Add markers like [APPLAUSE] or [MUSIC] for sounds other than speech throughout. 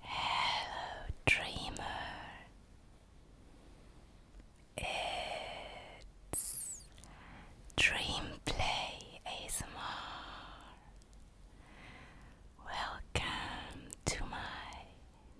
Hello, dreamer. It's Dream Play ASMR. Welcome to my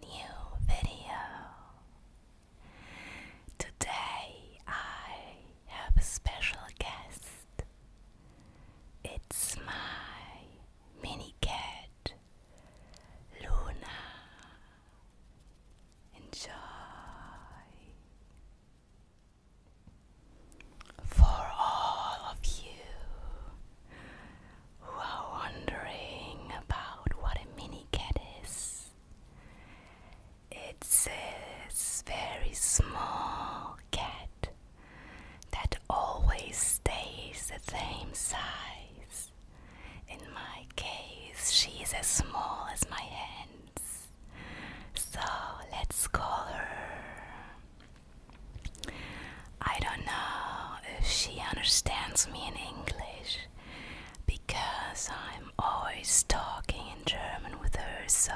new video. Today I have a special guest. It's my mini cat, Luna. Enjoy. For all of you who are wondering about what a mini cat is, it's a very small cat that always stays the same size. In my case, she's as small as my hands. So let's call her. I don't know if she understands me in English because I'm always talking in German with her, so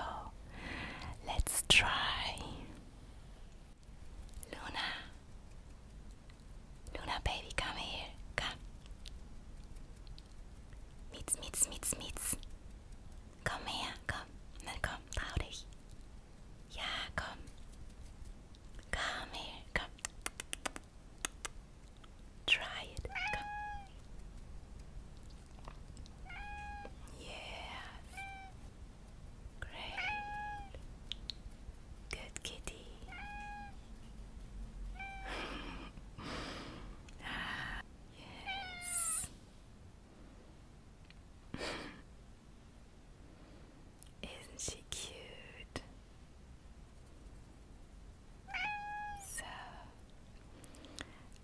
Let's try. Luna. Luna, baby, come here. Come. Meets, meets, meets, meets. Komm her, komm. Na komm, trau dich. Ja, komm. Komm her, Try it. Komm. Yeah. Great. Good kitty. [LAUGHS] yes. Isn't she cute? So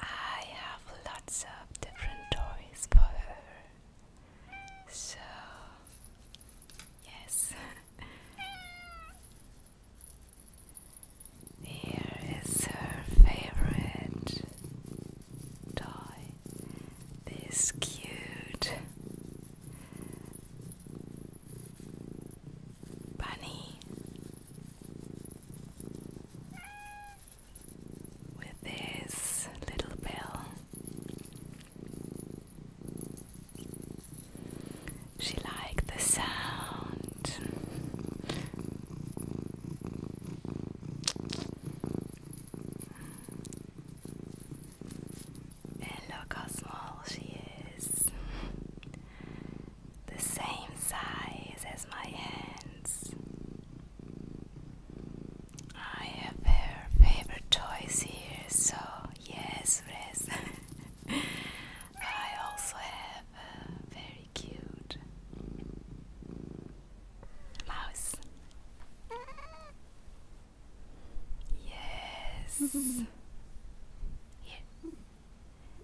I have lots of different toys for her. So, yes. [LAUGHS] Here is her favorite toy. This cute bunny with this little bell. She liked the sound. And look how small she is the same size as my hands. I have her favorite toys here, so yes, Rez. [LAUGHS] I also have a very cute mouse. Yes. [LAUGHS]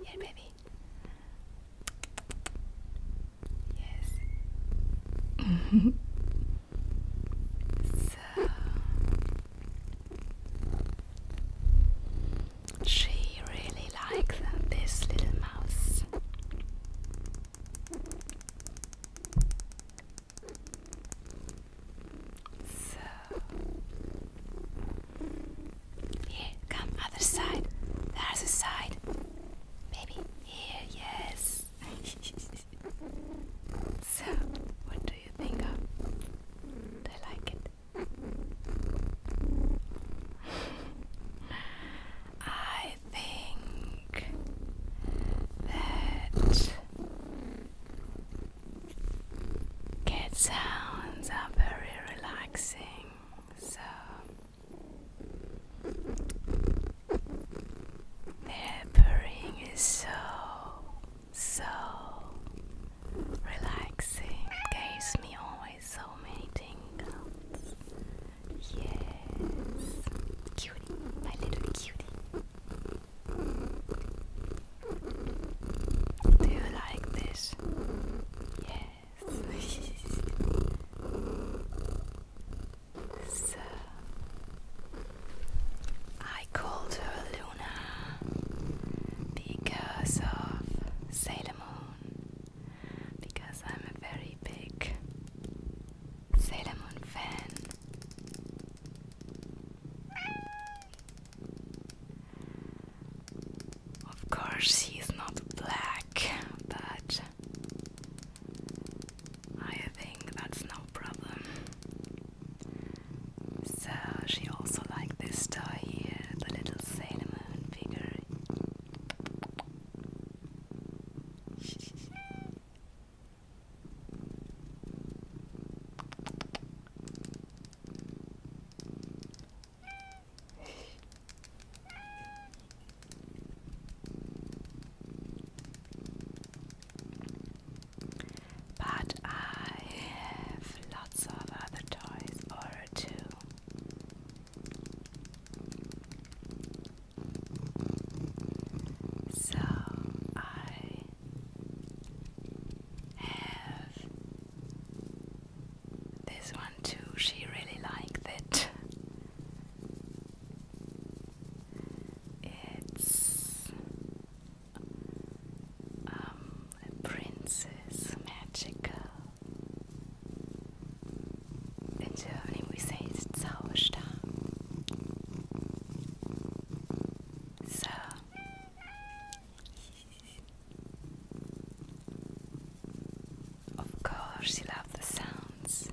Here, baby. Yes. so she really likes this little mouse. So here, come, other side. There's a side. Maybe here, yes. [LAUGHS] so, what do you think of? Do like it? [LAUGHS] I think that Cat sounds are very relaxing, so their is so, so relaxing. Gives me always so many tingles. Yes, cutie, my little cutie. Do you like this? Yes. [LAUGHS] so I called her Luna because of Sailor Moon. Because I'm a very big Sailor Moon fan. Of course, he's not black, but I think that's no problem. So, she also liked this toy here the little cinnamon figure. But I have lots of other toys or two. So I have this one too. She really liked it. It's um, a princess magical. In Germany we say it's So of course, you love the sounds. [LAUGHS]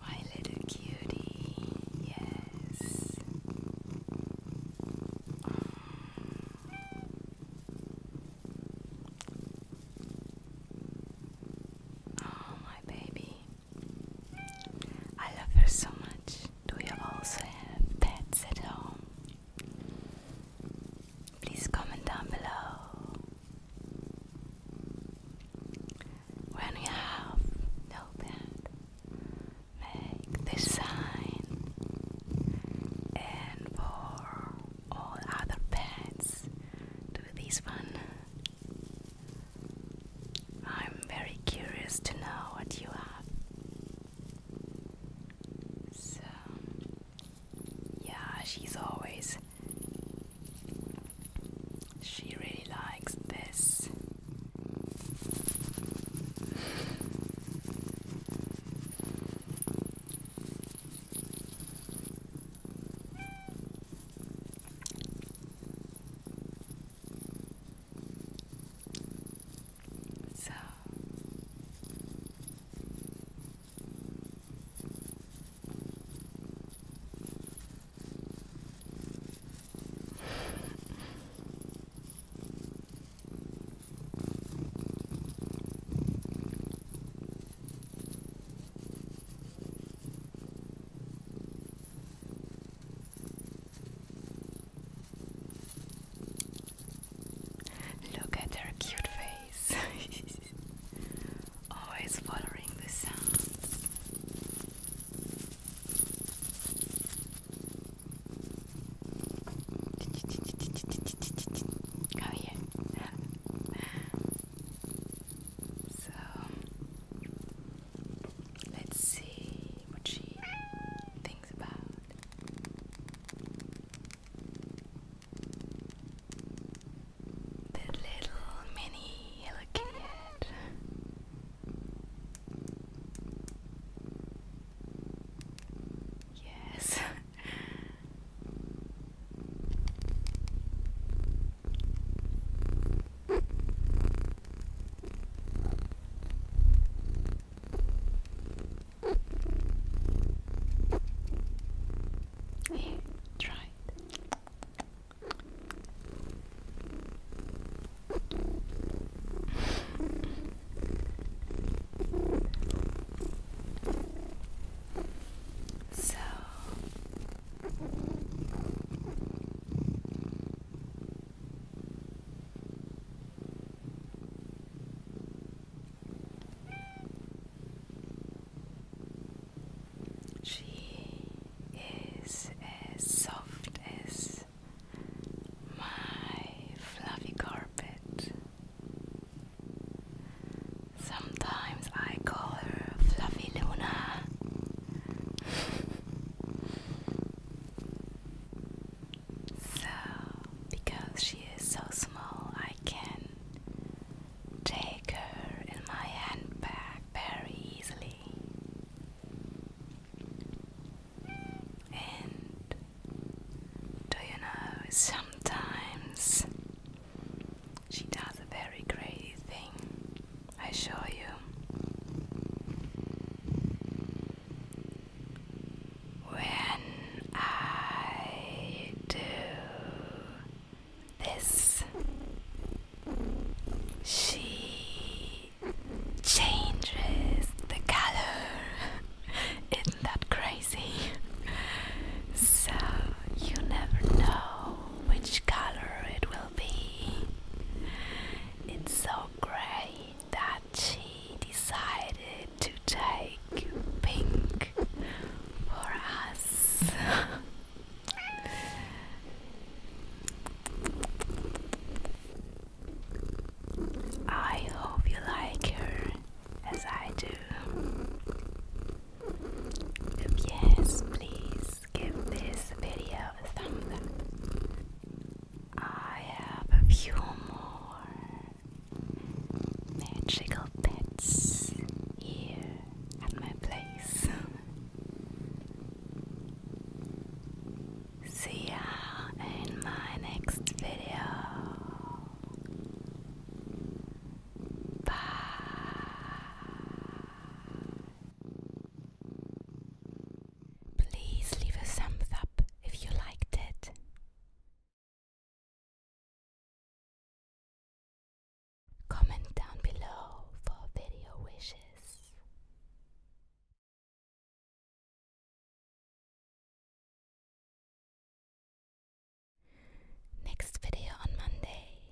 my little cutie, yes. Oh, my baby. I love her so much. Do you also have pets at home? Please comment down below. When you have no bed, make this sign, and for all other pets, do this one. I'm very curious to know what you have. So, yeah, she's always she really likes this. So Look at her cute face. [LAUGHS] always following the sound. Come here. [LAUGHS] so let's see what she thinks about. The little mini Hello Yes. Here, try it. so she is as soft as my fluffy carpet. Sometimes I call her Fluffy Luna. so, because she is so small, I can take her in my handbag very easily. And do you know, sometimes she does a very crazy thing, I show you. When I do this, she changes the color. Isn't that crazy? So you never know which color it will be. It's so great that she decided to take pink for us. I hope you like her as I do. If yes, please give this video a thumbs up. I have a few more magical pets here at my place. [LAUGHS] See ya in my next video. Bye. Please leave a thumbs up if you liked it. Comment down below for video wishes. Next video on Monday.